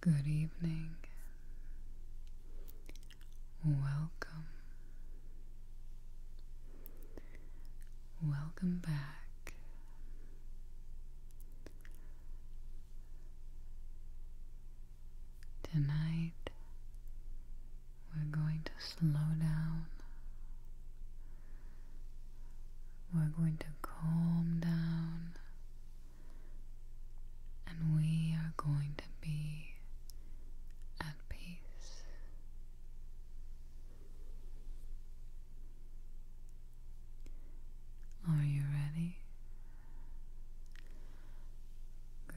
Good evening. Welcome. Welcome back. Tonight we're going to slow down. We're going to calm down. And we are going to be at peace. Are you ready? Good.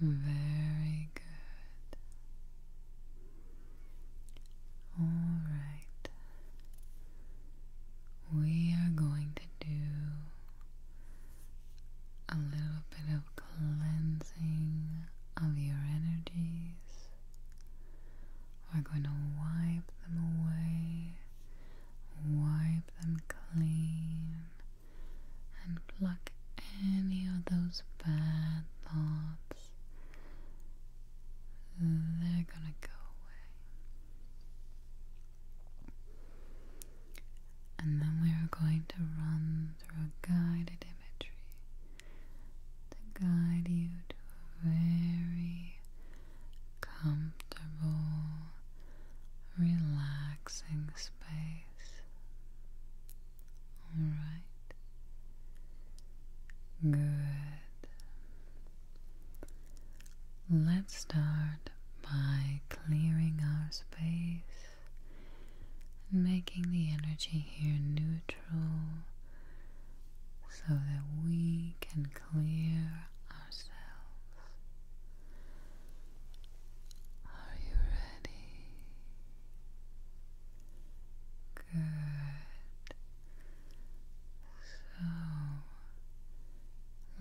Very good. All right. We are going to do a little bit of cleansing of your energies. We're going to wipe them away, wipe them clean and pluck any of those bad thoughts. They're gonna go away. And then we are going to run through a guided imagery to guide you to a very comfortable, relaxing space. All right. Good. Let's start by clearing our space and making the energy here neutral so that we can clear are you ready? Good. So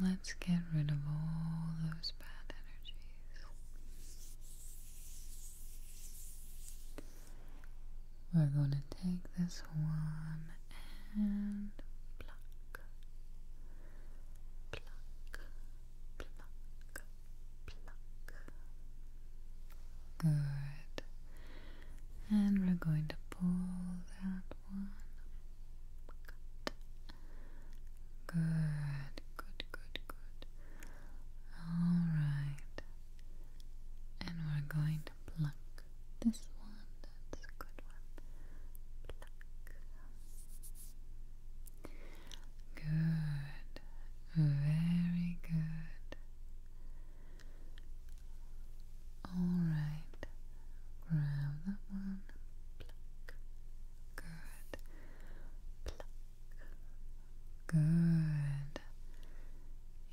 let's get rid of all those bad energies. We're going to take this one and block pluck, pluck, pluck. Good. And we're going to pull that one. Good, good, good, good. All right. And we're going to pluck this one that's a good one. Good. Very good. Alright. Grab that one. Good. Good.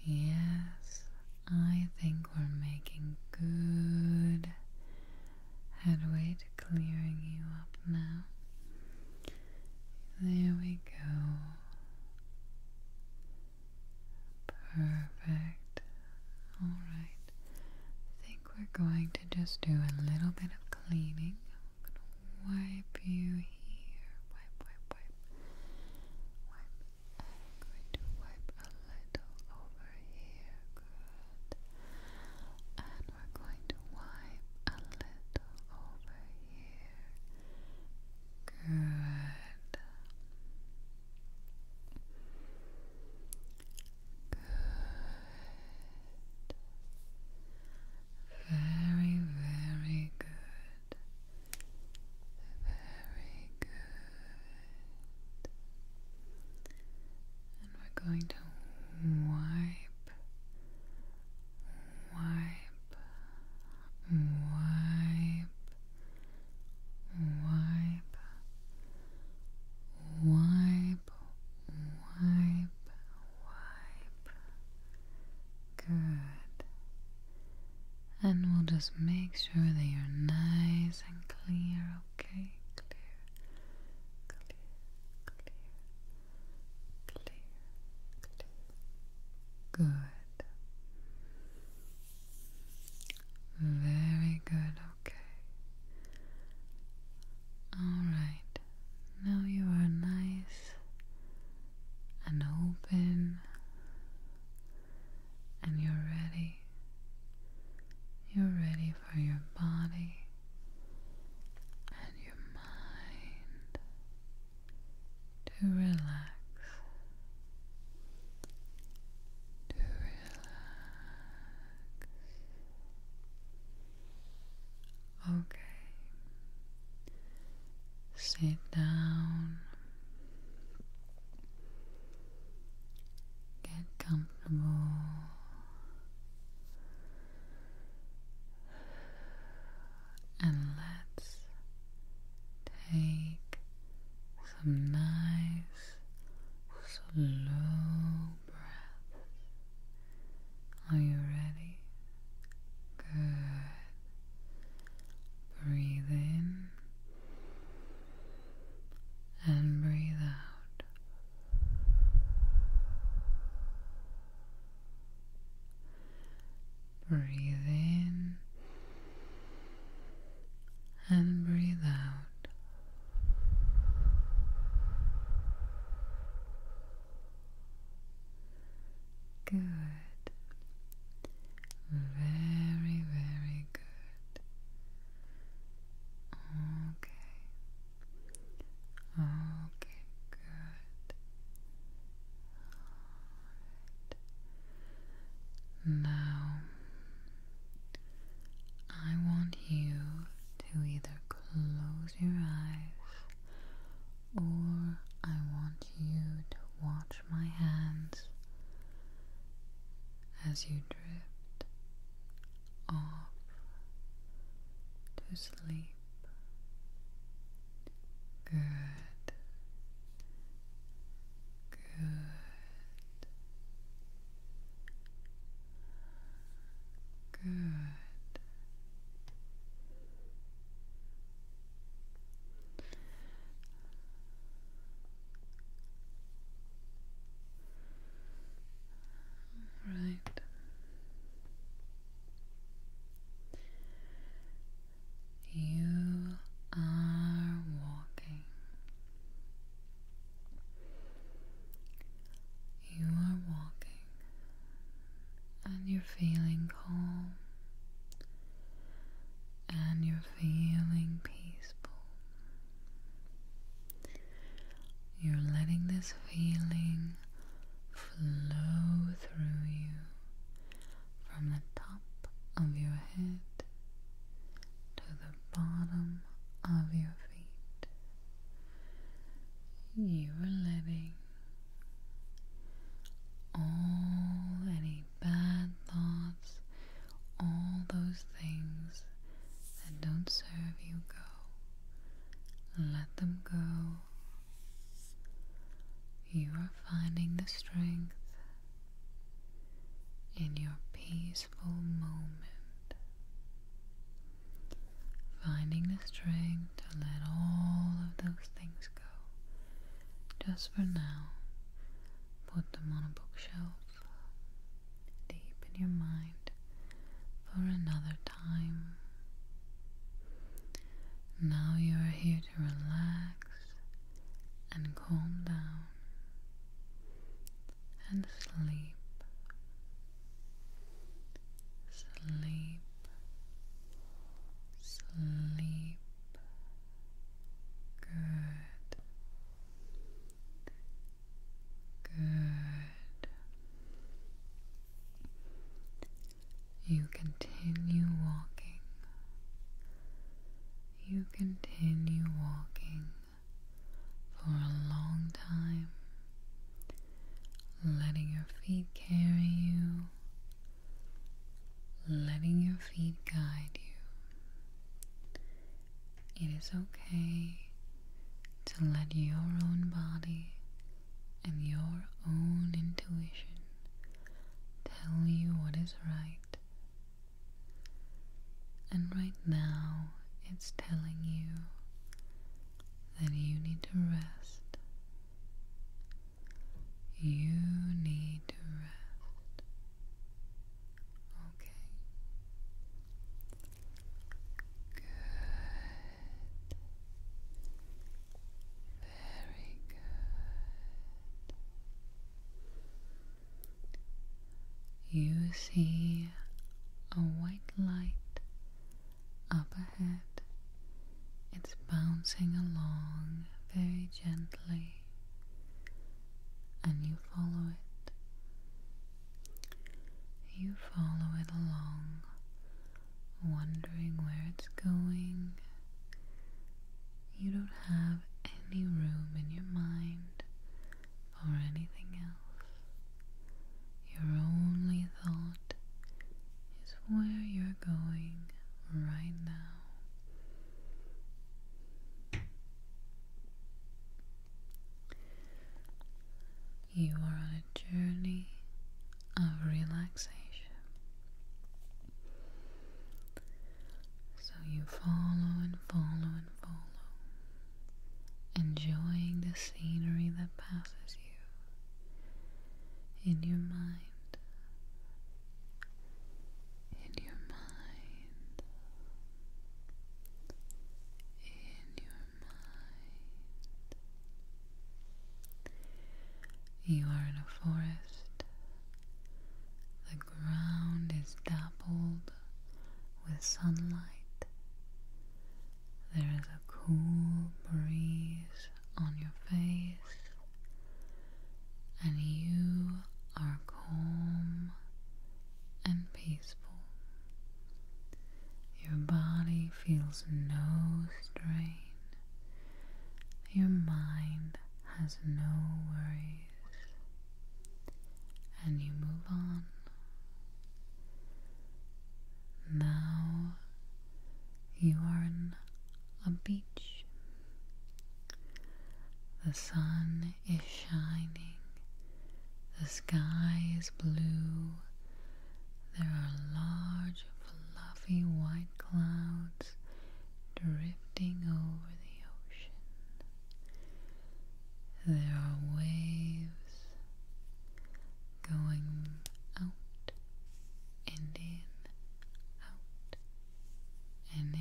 Yes, I think we're making good headway to clearing you up now. There we go. Perfect. Alright. I think we're going to just do a little bit of cleaning. I'm going to wipe you here. wipe, wipe. Wipe. I'm going to wipe a little over here. Good. And we're going to wipe a little over here. Good. Good. Very, very good. Very good. And we're going to wipe, wipe, wipe, wipe, wipe, wipe, wipe. Good. And we'll just make sure they are nice and clear Okay, clear, clear, clear, clear, clear. Good. Very good, okay. Alright, now you are nice and open and you're ready. You're ready for your body and your mind to relax. To relax. Okay. Sit down. Get comfortable. And let's take some nice, slow breaths. Are you ready? Good. Breathe and breathe out. Breathe in and breathe out. Good. Very, very good. Okay. Okay, good. Now, I want you to either close your eyes or I want you to watch my hands as you drift off to sleep. Good. Good. Good. Right. You are walking. You are walking and you're feeling calm and you're feeling peaceful. You're letting this feeling flow through you from the top of your head to the bottom of your feet. You are letting all any bad thoughts, all those things that don't serve you go. Let them go. You are finding the strength in your peaceful moment. Finding the strength to let all of those things go. Just for now, Put them on a bookshelf, deep in your mind, for another time. Now you are here to relax and calm down and sleep. Sleep, sleep, Good. Good. You continue walking. You continue walking for a long time, letting your feet carry you, letting your feet guide you. It is okay to let your own body and your own intuition tell you what is right. And right now, it's telling you that you need to rest. You need to rest. Okay. Good. Very good. You see a white light up ahead. It's bouncing along very gently and you follow it. You follow it along, wondering where it's going. You don't have any room in your mind for anything else. Your only thought is where you're going right now. You are on a journey of relaxation. So you follow and follow and follow, enjoying the scenery that passes you in your mind in your mind, in your mind. You are in a forest. The ground is dappled with sunlight. There is a cool breeze on your face, and you are calm and peaceful. Your body feels no strain, your mind has no worries, and you move on. Now you are on a beach. The sun is shining. The sky is blue. There are large, fluffy white clouds drifting over the ocean. There are waves going out and in, and in.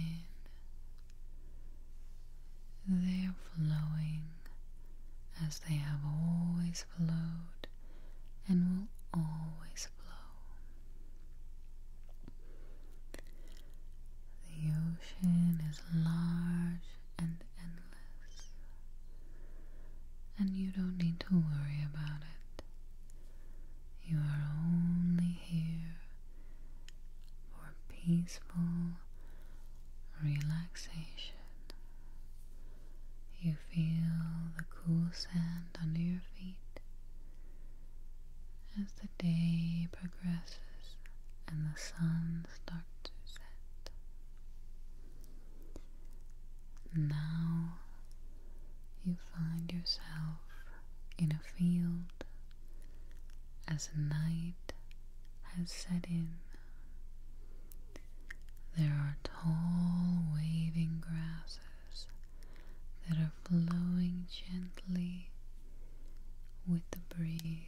They are flowing as they have always flowed and will always flow. The ocean is large and endless, and you don't need to worry about it. You are only here for peaceful relaxation. You feel the cool sand under your feet as the day progresses and the sun starts to set. Now you find yourself in a field as night has set in. There are tall waving grasses that are flowing gently with the breeze.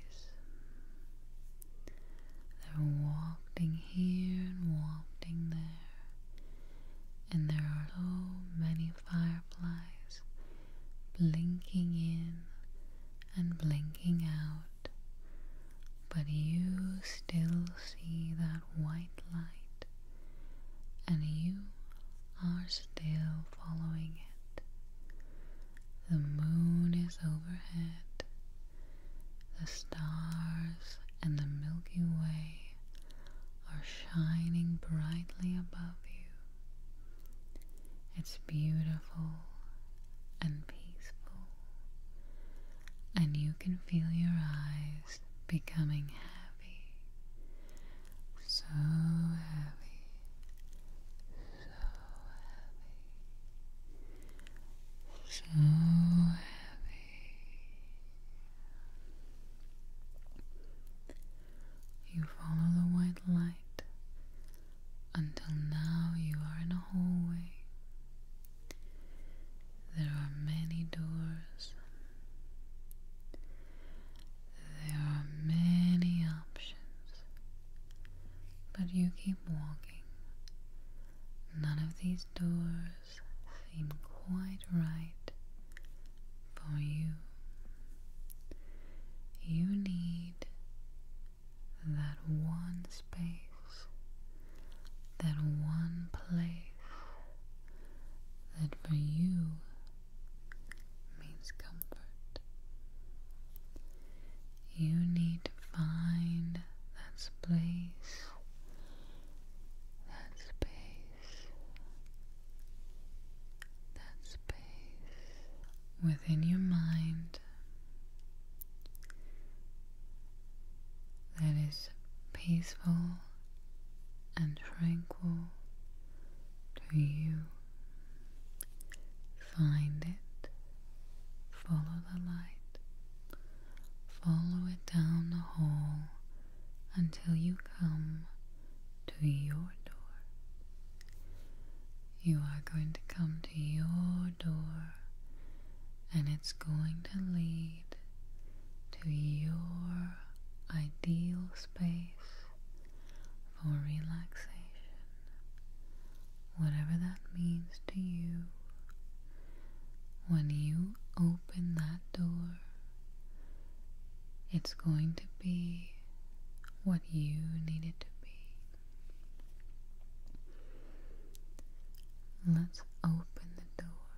They're wafting here and wafting there and there are so many fireflies blinking in and blinking out, but you still see that white light, and you are still following it. The moon is overhead, the stars and the Milky Way are shining brightly above you. It's beautiful and peaceful, and you can feel your eyes becoming heavy. So heavy, so heavy, so heavy. You follow the white light until now you are in a hallway. There are many doors. There are many options. But you keep walking. None of these doors seem quite right for you. You need that one space, that one place that for you means comfort. You need to find that place that space, that space within your mind that is peaceful and tranquil to you. Find it, follow the light. Follow it down the hall until you come to your door. You are going to come to your door, and it's going to lead to your ideal space for relaxation, whatever that means to you, when you open that door, it's going to be what you need it to be. Let's open the door.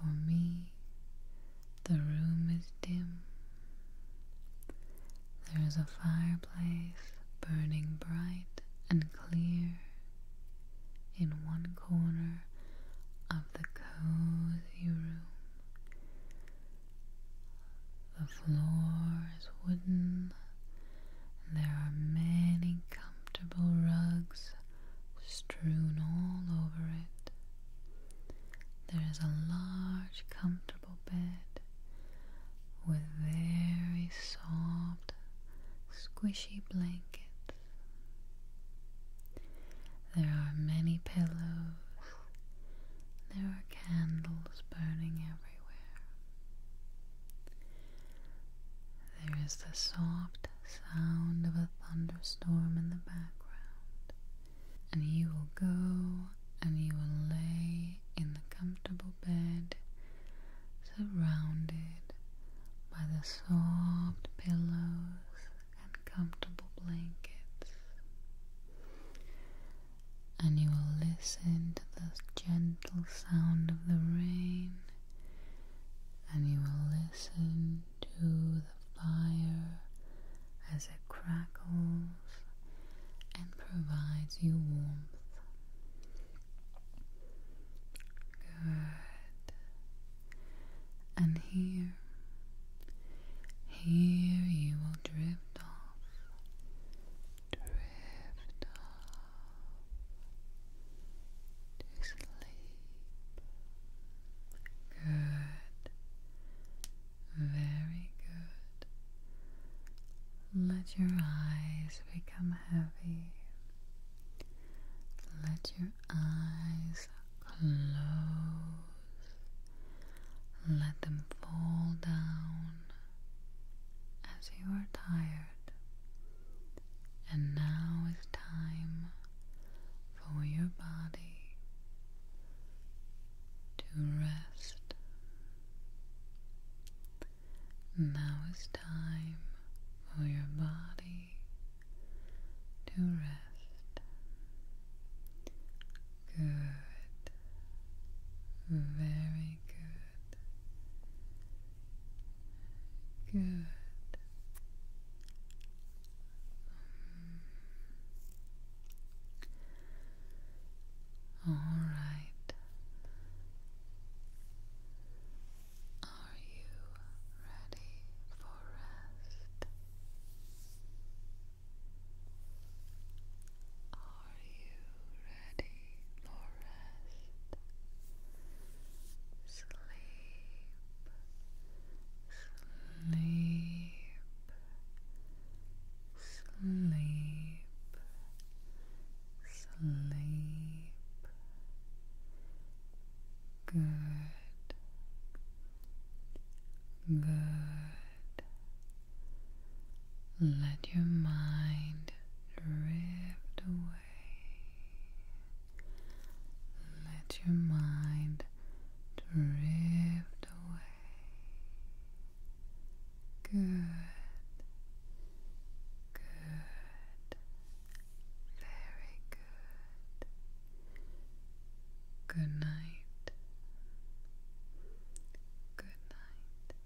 For me, the room is dim. There is a fireplace burning bright and clear in one corner of the cozy room. The floor is wooden. And there are many comfortable rugs strewn all over it. There is a large comfortable with very soft, squishy blankets. There are many pillows. There are candles burning everywhere. There is the soft sound of a thunderstorm in the background. And you will go and you will lay in the comfortable bed, surrounded by the soft pillows and comfortable blankets. And you will listen to the gentle sound of the rain, and you will listen to the fire as it crackles and provides you warmth. Good. And here, here you will drift off, drift off to sleep. Good. Very good. Let your eyes become heavy. Let your eyes close. Let them fall down as you are tired. And now it's time for your body to rest. Now is time for your body to rest. Good. Very good. Good. All right. Are you ready for rest? Are you ready for rest? Sleep. Sleep sleep, sleep. Good, good. Let your mind drift away. Let your mind drift away. Good. Good. Very good. Good night. Good night.